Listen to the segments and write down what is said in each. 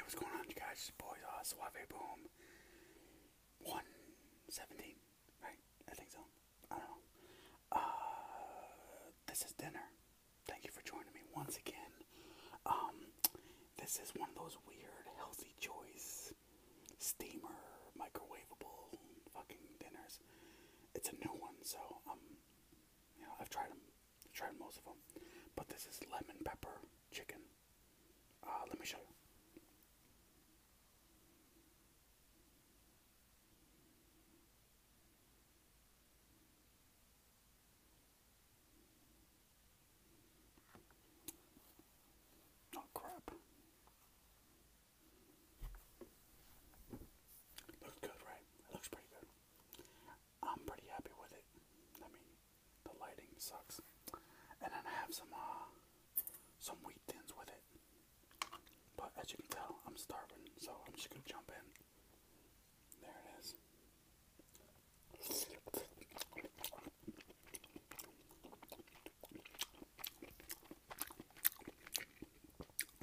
what's going on, you guys? Boys, uh, Suave Boom 117, right? I think so. I don't know. Uh, this is dinner. Thank you for joining me once again. Um, this is one of those weird, healthy choice steamer, microwavable fucking dinners. It's a new one, so, um, you know, I've tried them I tried most of them, but this is lemon pepper chicken. Uh, let me show you. Oh crap. Looks good, right? looks pretty good. I'm pretty happy with it. I mean, the lighting sucks. And then I have some uh some wheat thins with it. But as you can tell, I'm starving, so I'm just gonna jump in. There it is.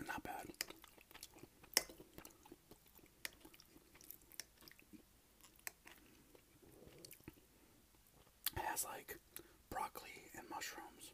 Not bad has like broccoli and mushrooms.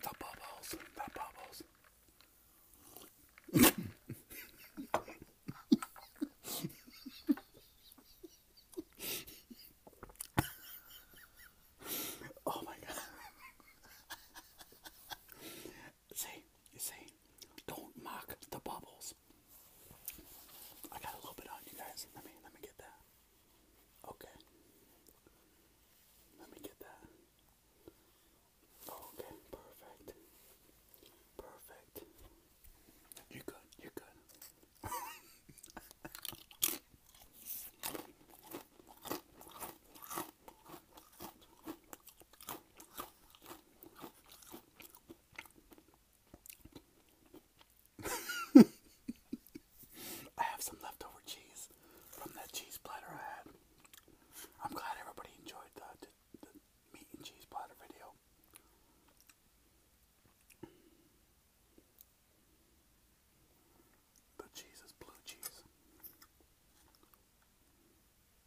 The bubbles, the bubbles. oh my god. See, you see, don't mock the bubbles. I got a little bit on you guys. Let me let me get that. Okay. Let me get that. Okay, perfect. Perfect. you good. you good. I have some leftover cheese from that cheese platter I had. I'm glad everybody enjoyed the, meat and cheese platter video. The cheese is blue cheese.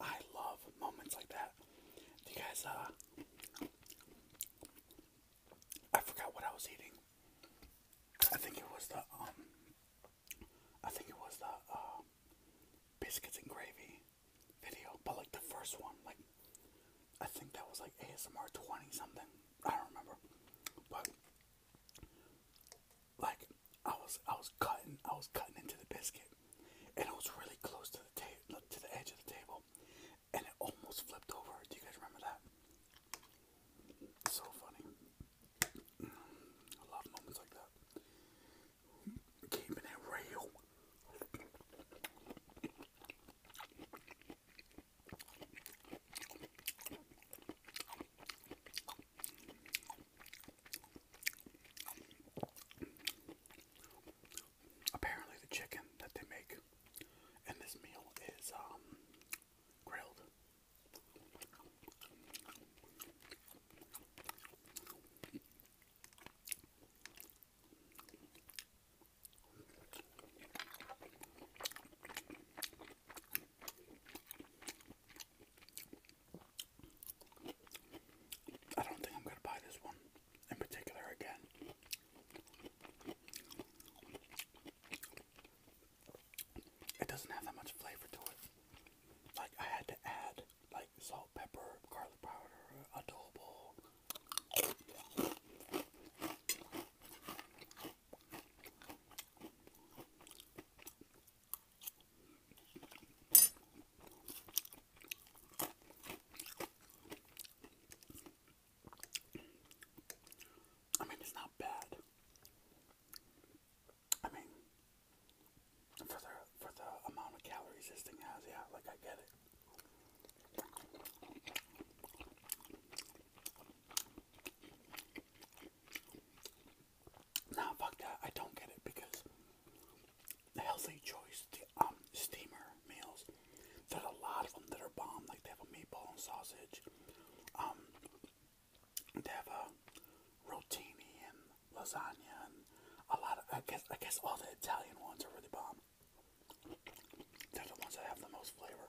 I love moments like that. You guys, uh, I forgot what I was eating. I think it was the, um, I think it was the, uh, biscuits and gravy video, but like the first one, like, I think that was like ASMR 20 something. I don't remember. But, like, I was, I was cutting, I was cutting into the biscuit, and it was really close to the ta- to the edge of the table, and it almost flipped over. Do you guys remember that? So funny. I love moments like that. Keeping it real. Apparently, the chicken that they make in this meal is um, grilled. I don't think I'm going to buy this one in particular again. It doesn't have that much flavor to it. Like, I had to add, like, salt, pepper, garlic powder, adobo. I mean, it's not bad. I mean, for the for the amount of calories this thing has, yeah, like I get it. Nah, fuck that. I don't get it because the healthy choice, the um, steamer meals, there's a lot of them that are bomb. Like they have a meatball and sausage. Um, they have a rotini and lasagna and a lot of. I guess I guess all the Italian ones are really bomb. They're the ones that have the most flavor.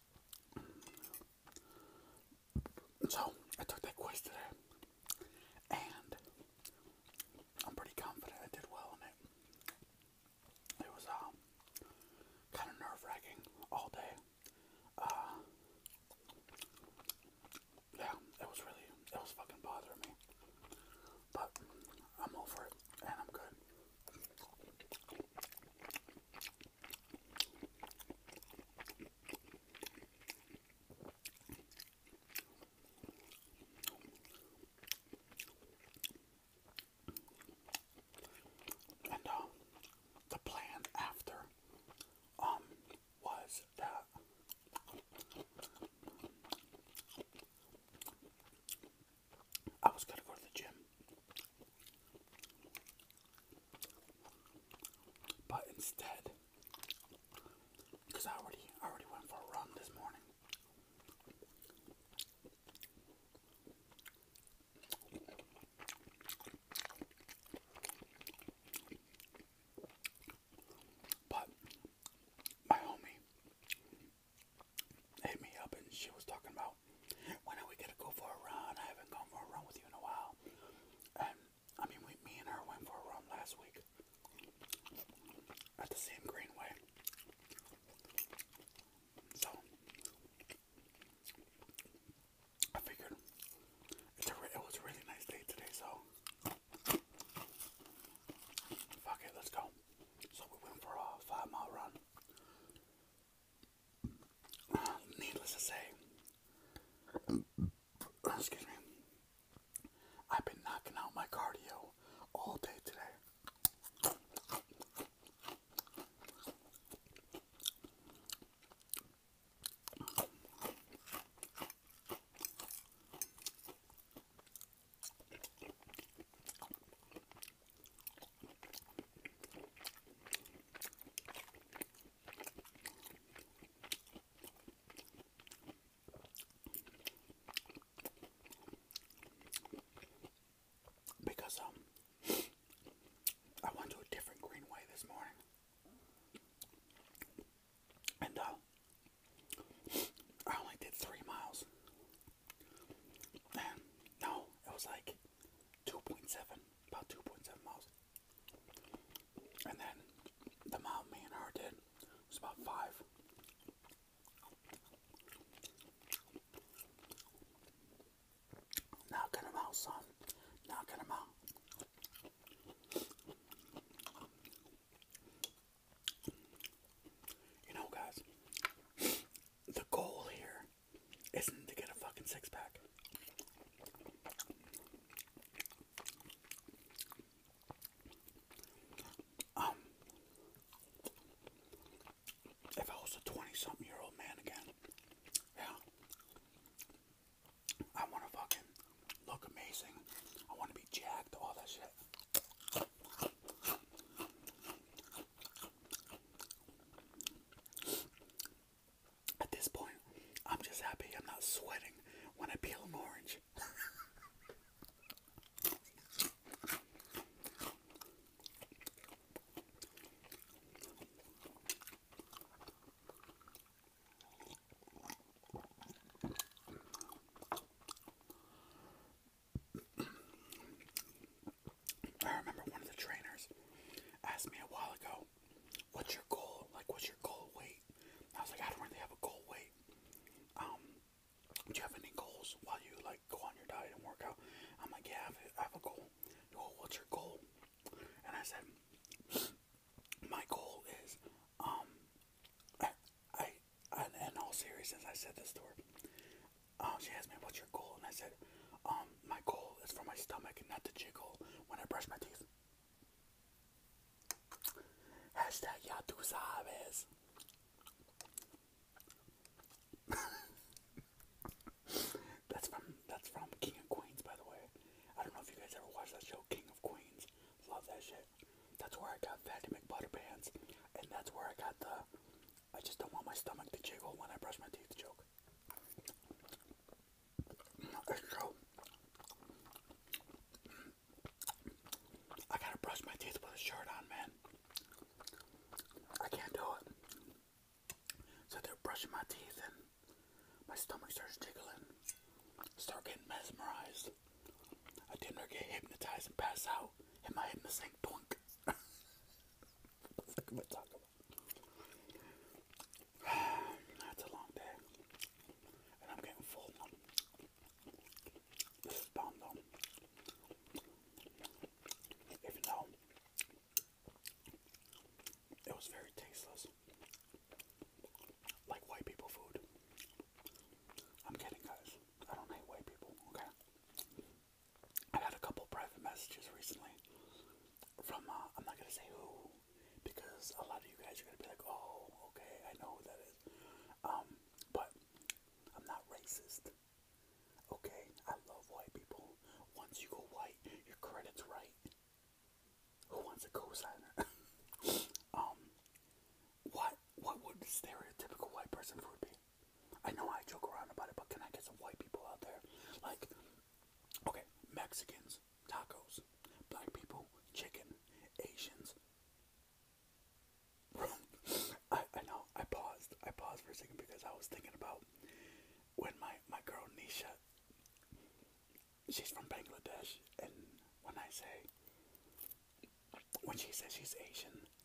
So I took that quiz today, and I'm pretty confident I did well in it. It was uh, kind of nerve wracking all day. Uh, yeah, it was really, it was fucking bothering me. But I'm over it, and I'm good. And um, the plan after um, was that I was going to go to the gym. But instead, because I already, I already went for a run this morning. But my homie hit me up and she was talking about when are we gonna go for a run? I haven't gone for a run with you in a while. And I mean, we, me and her went for a run last week at the same greenway. So I figured it was a really nice day today, so fuck it, let's go. So we went for a five mile run. Needless to say, I've been knocking out my cardio all day today. Because um I went to a different greenway this morning. And uh I only did three miles. No, it was like 2.7, about 2.7 miles. And then the mile me did was about five. Knocking him out, son. Knocking him out. You know, guys, the goal here isn't to get a fucking six pack. Um, if I was a 20 something year old man again, yeah, I want to fucking look amazing. I want to be jacked, all that shit. At this point, I'm just happy I'm not sweating when I peel an orange. I remember one of the trainers asked me a while ago, "What's your goal? Like, what's your goal weight?" I was like, "I don't really have a goal weight. Um, do you have any goals while you like go on your diet and work out?" I'm like, "Yeah, I have, I have a goal." Well, what's your goal? And I said, "My goal is, um, I, I, I in all seriousness, I said this to her um, she asked me, what's your goal? And I said, um, my goal is for my stomach not to jiggle when I brush my teeth. Hashtag ya tu sabes. that's from that's from King of Queens, by the way. I don't know if you guys ever watched that show, King of Queens. Love that shit. That's where I got Fatty McButterpants, and that's where I got the I just don't want my stomach to jiggle when I brush my teeth joke. I gotta brush my teeth with a shirt on, man. I can't do it. So they're brushing my teeth and my stomach starts jiggling. Start getting mesmerized. I damn near get hypnotized and pass out. And my head in the sink, that's a long day. And I'm getting full now. Even though it was very tasteless. Like white people food. I'm kidding guys. I don't hate white people, okay? I got a couple private messages recently from, uh, I'm not going to say who, because a lot of you guys are going to be like, oh, okay, I know who that is. Um, but I'm not racist. Okay, I love white people. Once you go white, your credit's right. Who wants a cosigner? um, what what would stereotypical white person food be? I know I joke around about it, but can I get some white people out there? Like, okay, Mexicans, tacos, black people, chicken, Asians. I, I know, I paused. I paused for a second because I was thinking about when my, my girl Nisha, she's from Bangladesh, and when I say, when she says she's Asian,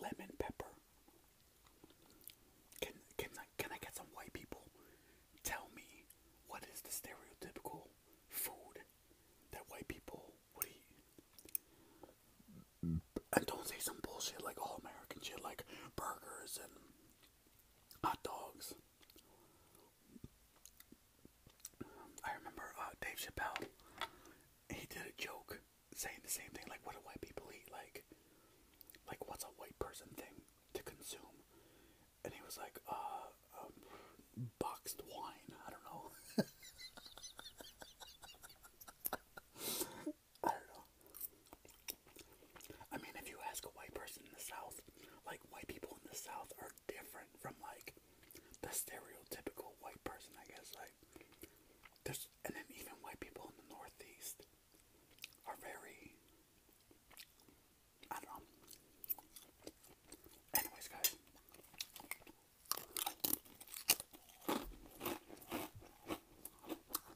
lemon pepper. Can can I can I get some white people? Tell me what is the stereotypical food that white people would eat? And don't say some bullshit like all American shit like burgers and hot dogs. I remember uh, Dave Chappelle. He did a joke saying the same thing. Like, what do white people eat? Like, like what's a white person thing to consume? And he was like, uh, um, boxed wine. I don't know. I don't know. I mean, if you ask a white person in the South, like white people in the South are different from like the stereotypical white person, I guess. Like. There's, and then even white people in the Northeast are very, I don't Anyways, guys.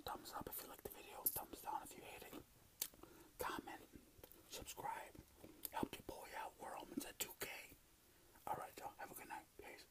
Thumbs up if you like the video, thumbs down if you hate it. Comment, subscribe, help your boy out. We're almost at 2K. Alright, y'all. Have a good night. Peace.